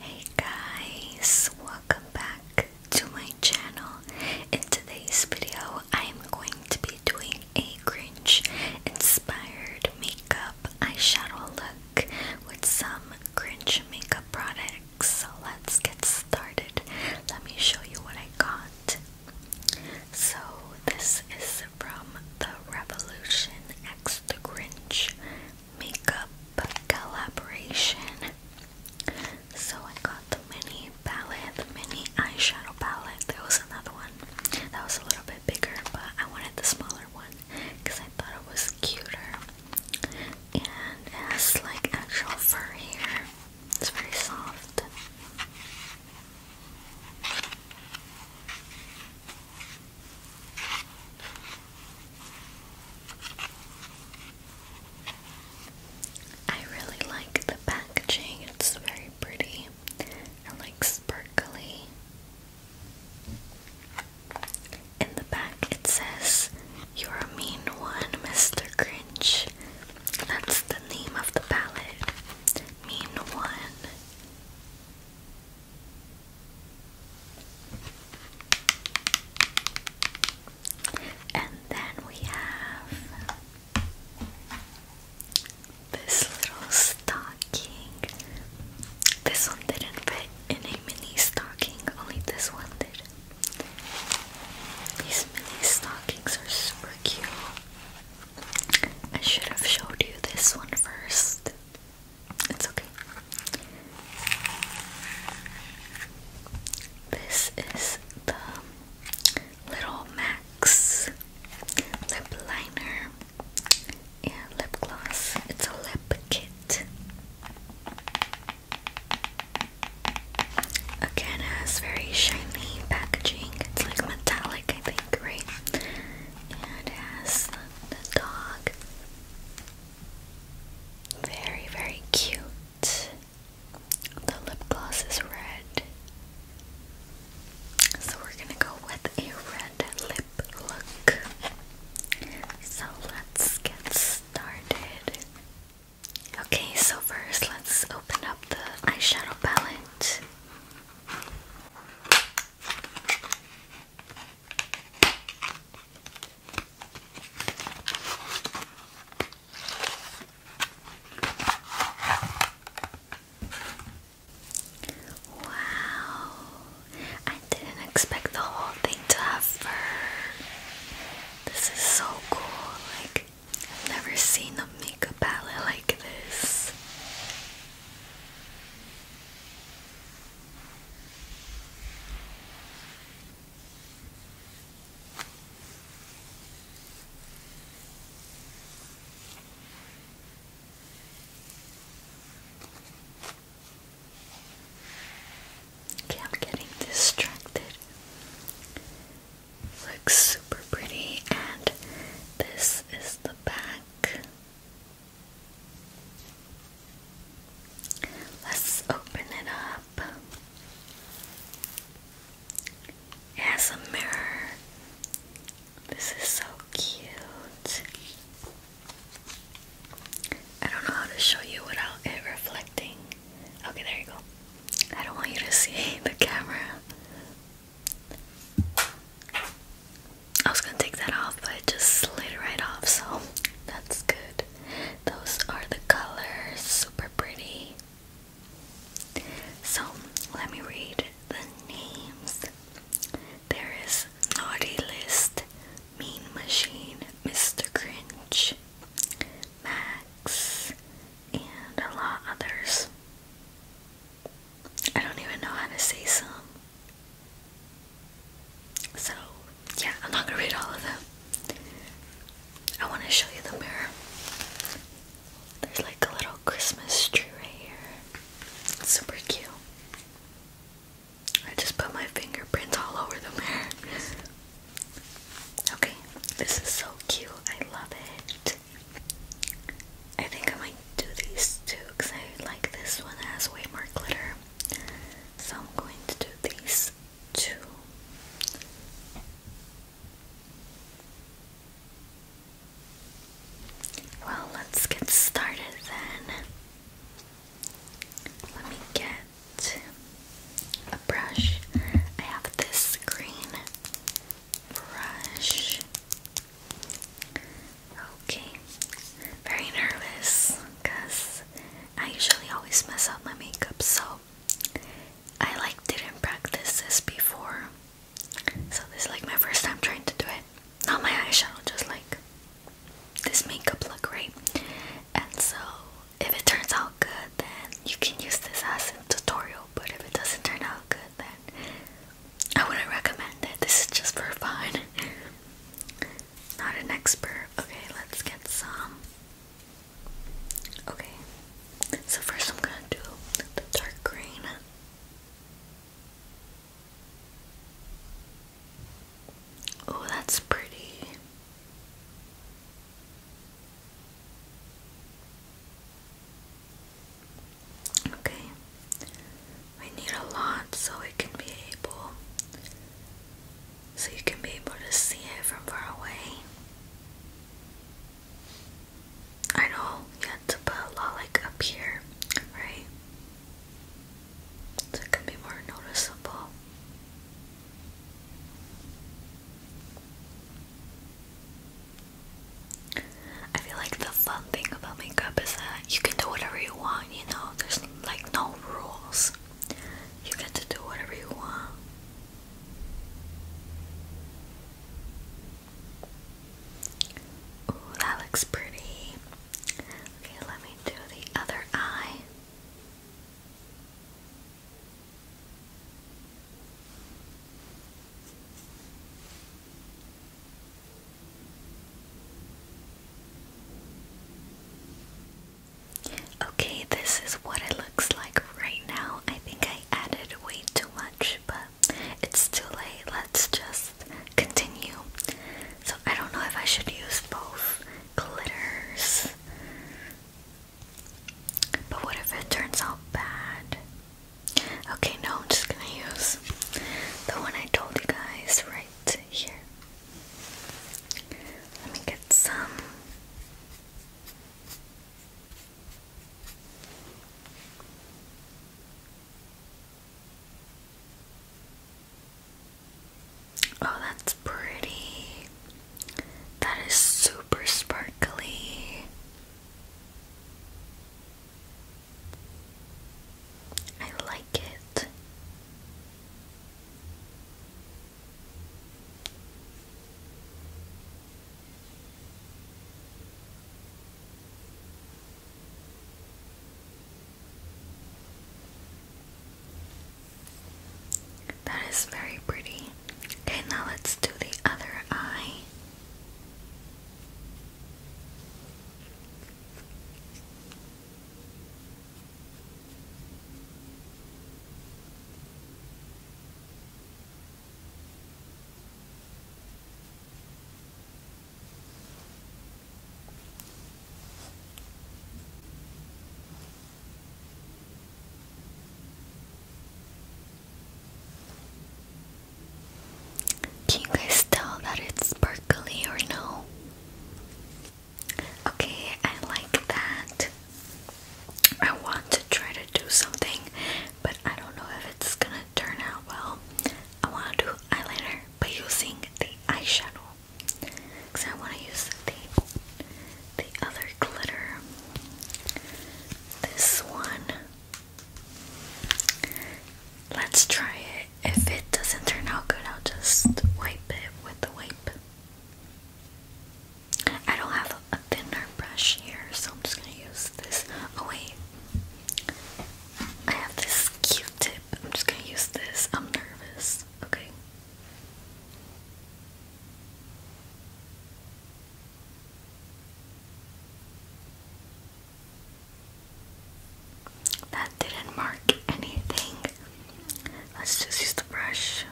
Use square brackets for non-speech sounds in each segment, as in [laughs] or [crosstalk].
Hey guys, welcome back to my channel. In today's video, I am going to be doing a Grinch inspired makeup eyeshadow look with some Grinch makeup products. So let's get started. Let me show you what I got. So, this is from the Revolution X the Grinch makeup collaboration. So I got the mini palette, the mini eyeshadow palette. There was another one that was a little bit bigger, but I wanted the smaller one because I thought it was cuter. And it has like actual fur here. It's very soft. I really like the packaging, it's very pretty and like sparkly. In the back, it says, You're a mean one, Mr. Grinch. That's the name of the palette. Mean one. And then we have this little stocking. This one didn't fit in a mini stocking, only this one did. These mini stockings are super cute. I should have showed you this one first. It's okay. This is the Little Max lip liner and lip gloss. It's a lip kit. Again, has very shiny packaging. It's like metallic, I think, right? And it has the dog very, very cute. The lip gloss is red. So we're gonna go with a red lip look. So let's get started. Okay, so first let's open up the eyeshadow palette. Wow, I didn't expect the whole thing to have fur. This is so cool. Like, I've never seen a makeup palette like this. Okay, I'm getting distracted. Looks super pretty, and this is the back. Let's open it up. It has a mirror. This is so cute. I don't know how to show you without it reflecting. Okay, there you go. I don't want you to see [laughs] the camera. I was gonna take that off, but it just slid right off, so that's good. Those are the colors, super pretty. So let me read the names. There is Naughty List, Mean Machine, Mr. Grinch, Max, and a lot others. I don't even know how to say some. So, yeah, I'm not gonna read all of them. I want to show you the mirror. There's like a little Christmas tree right here. super cute. I just put my fingerprints all over the mirror. Okay, this is so cute. I love it. I think I might do these too because I like this one. has way more glitter. So I'm going to do these two. Well, let's get started then. Let me get a brush. I have this green brush. Okay very nervous because I usually always mess up my makeup, so I like didn't practice this before. So this is like my first time trying to do it. Not my eyeshadow, just like this makeup look, right? And so if it turns out good, then you can use this as a tutorial. But if it doesn't turn out good, then I wouldn't recommend it. This is just for fun. [laughs] Not an expert. Okay, let's get some. Okay, so first I'm gonna do the dark green. Oh, that's pretty. Okay, we need a lot so it can be able so you can be able to see it from far away. I know you had to put a lot like up here, right? So it can be more noticeable. I feel like the fun thing about makeup is that you can do whatever you want, you know, there's like no rules. You get to do whatever you want. Ooh, that looks pretty. Okay, let me do the other eye. Okay, this is what it looks like right now. I think I added way too much, but it's too late. Let's just continue. So, I don't know if I should use both glitters, but what if it turns out bad? Okay, no, I'm just gonna use the one I told you guys right here. Let me get some. Oh, that's pretty. That is super sparkly. I like it. That is very pretty. Okay, now let's do the other eye. Can you guys tell that it's sparkly or no? Okay, I like that. I want to try to do something, but I don't know if it's gonna turn out well. I want to do eyeliner by using the eyeshadow because I want to use the the other glitter. This one. Let's try it. If it doesn't turn out good, I'll just wipe it with the wipe. I don't have a thinner brush here, so I'm just gonna use this. Oh, wait. I have this Q tip. I'm just gonna use this. I'm nervous. Okay. That didn't mark anything. Let's just use the brush.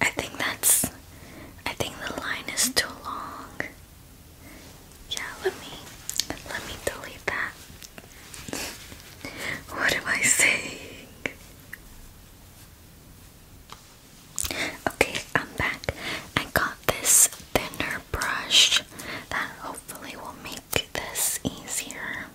I think that's. I think the line is too long. Yeah, let me. Let me delete that. [laughs] what am I saying? Okay, I'm back. I got this thinner brush that hopefully will make this easier.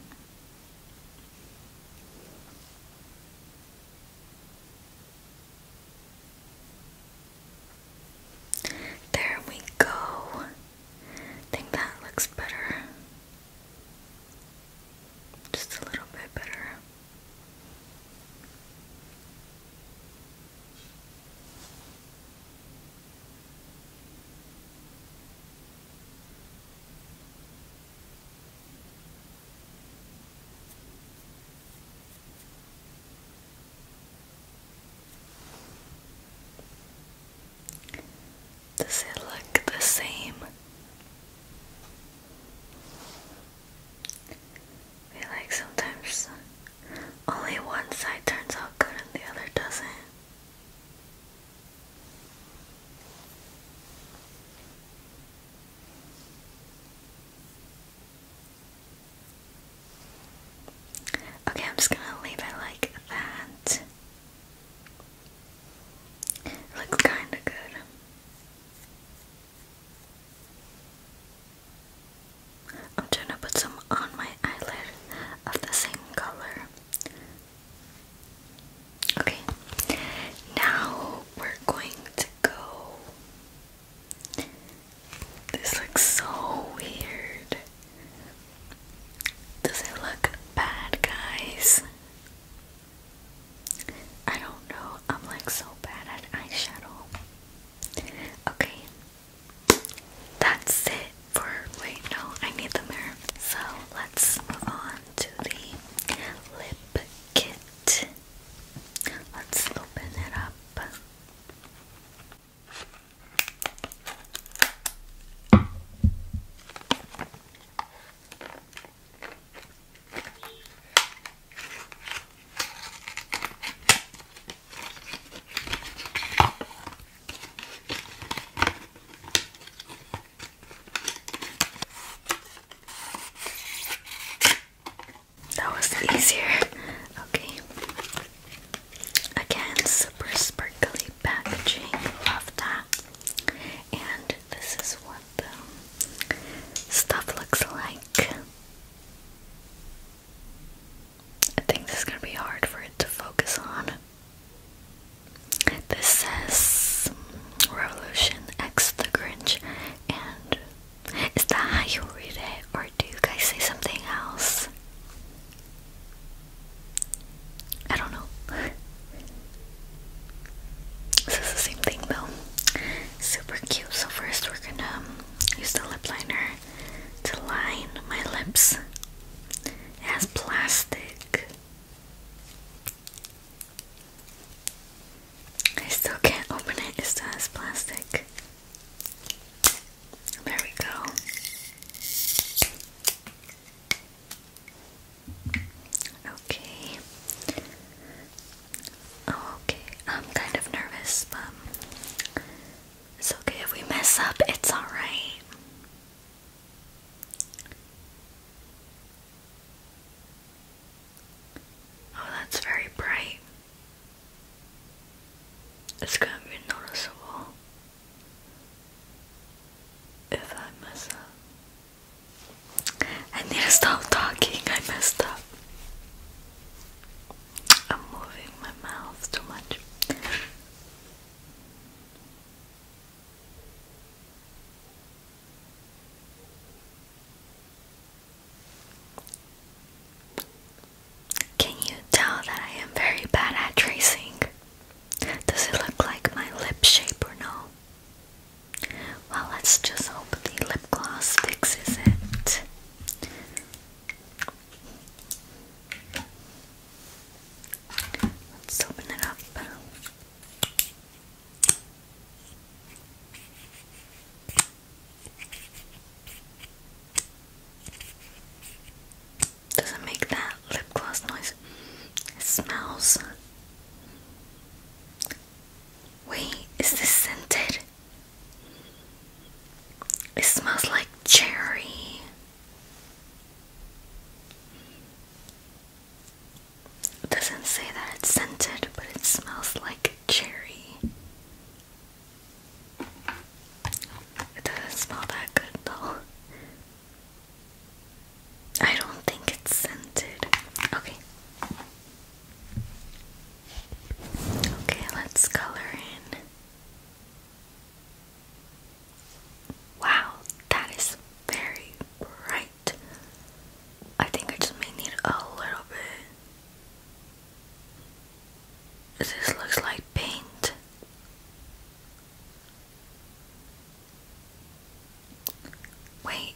There we go. I think that looks better just a little bit better. Does it look the same? like sometimes only one side turns out good and the other doesn't. Okay, I'm just gonna leave it like that. It looks kinda good. I'm trying to put some on my eyelid of the same color. Okay, now we're going to go. This looks so weird. Does it look bad, guys? I don't know. I'm like so bad at eyeshadow. Okay. That's it for. Wait, no, I need the mirror. So let's move on to the lip kit. Let's open it up. That was easier. Okay. Again, super sparkly packaging. Love that. And this is what stuff looks like. I think this is going to be hard for it to focus on. This says Revolution X the Grinch, and is that how you read it, or do you guys say something else? I don't know. [laughs] this is the same thing though. Super cute. So first we're gonna um, use the lip liner to line my lips. It has plastic. I still can't open it, it still has plastic. There we go. Okay. okay. I'm kind of nervous, but it's okay if we mess up. It's all right. Oh, that's very bright. It's gonna be noticeable if I mess up. I need to stop talking, I messed up. I'm moving my mouth too much. Can you tell that I am very bad at tracing? Does it look like my lip shape or no? Well, let's just hope the lip gloss fixes it. Let's open it up. Does it make that lip gloss noise? It smells Wait, is this scented? It smells like cherry. doesn't say that it's scented, but it smells like cherry. It doesn't smell that good though. I don't think it's scented. Okay. Okay, let's color in. Wow, that is very bright. I think I just may need a little bit. This looks like paint. Wait,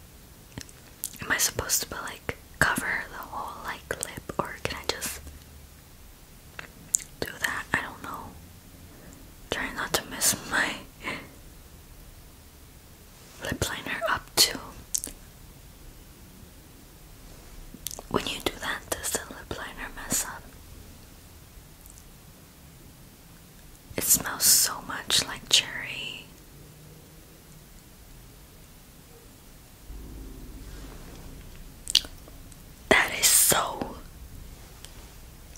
am I supposed to like cover the whole like lip or can I just do that? I don't know. Try not to miss my lip liner up too. When you do that, does the lip liner mess up? It smells so much like cherry. That is so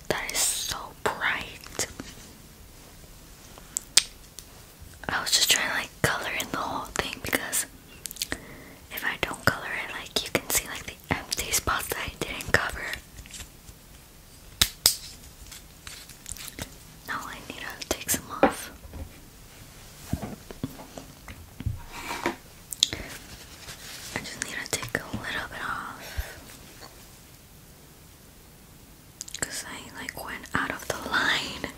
that is so bright. I was just trying to like color in the whole thing because if I don't color it like you can see like the empty spots that I didn't cover. Now I need to take some off. I just need to take a little bit off. Because I like went out of the line.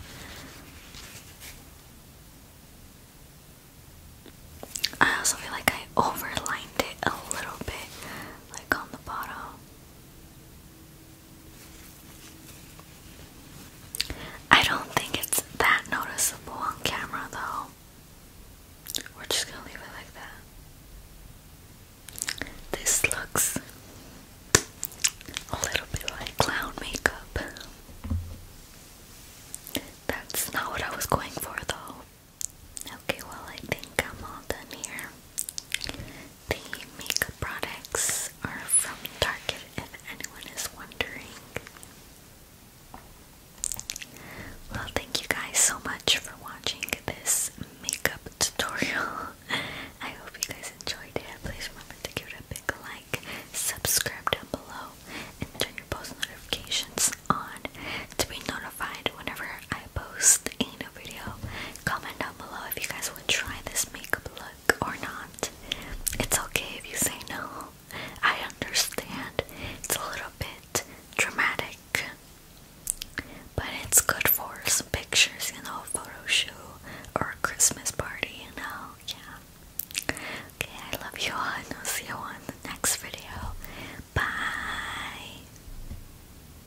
I also feel like I overlined it a little bit, like on the bottom. I don't think it's that noticeable on camera though. We're just gonna leave it like that. This looks a little bit like clown makeup. That's not what I was going for though. Okay, well, I think I'm all done here. The makeup products are from Target if anyone is wondering. Well, thank you guys so much for watching this makeup tutorial. [laughs] I hope you guys enjoyed it. Please remember to give it a big like, subscribe down below, and turn your post notifications on to be notified whenever I I post in a video. Comment down below if you guys would try this makeup look or not. It's okay if you say no. I understand. It's a little bit dramatic. But it's good for some pictures, you know, photo shoot or a Christmas party, you know, yeah. Okay, I love you all and I'll see you on the next video. Bye!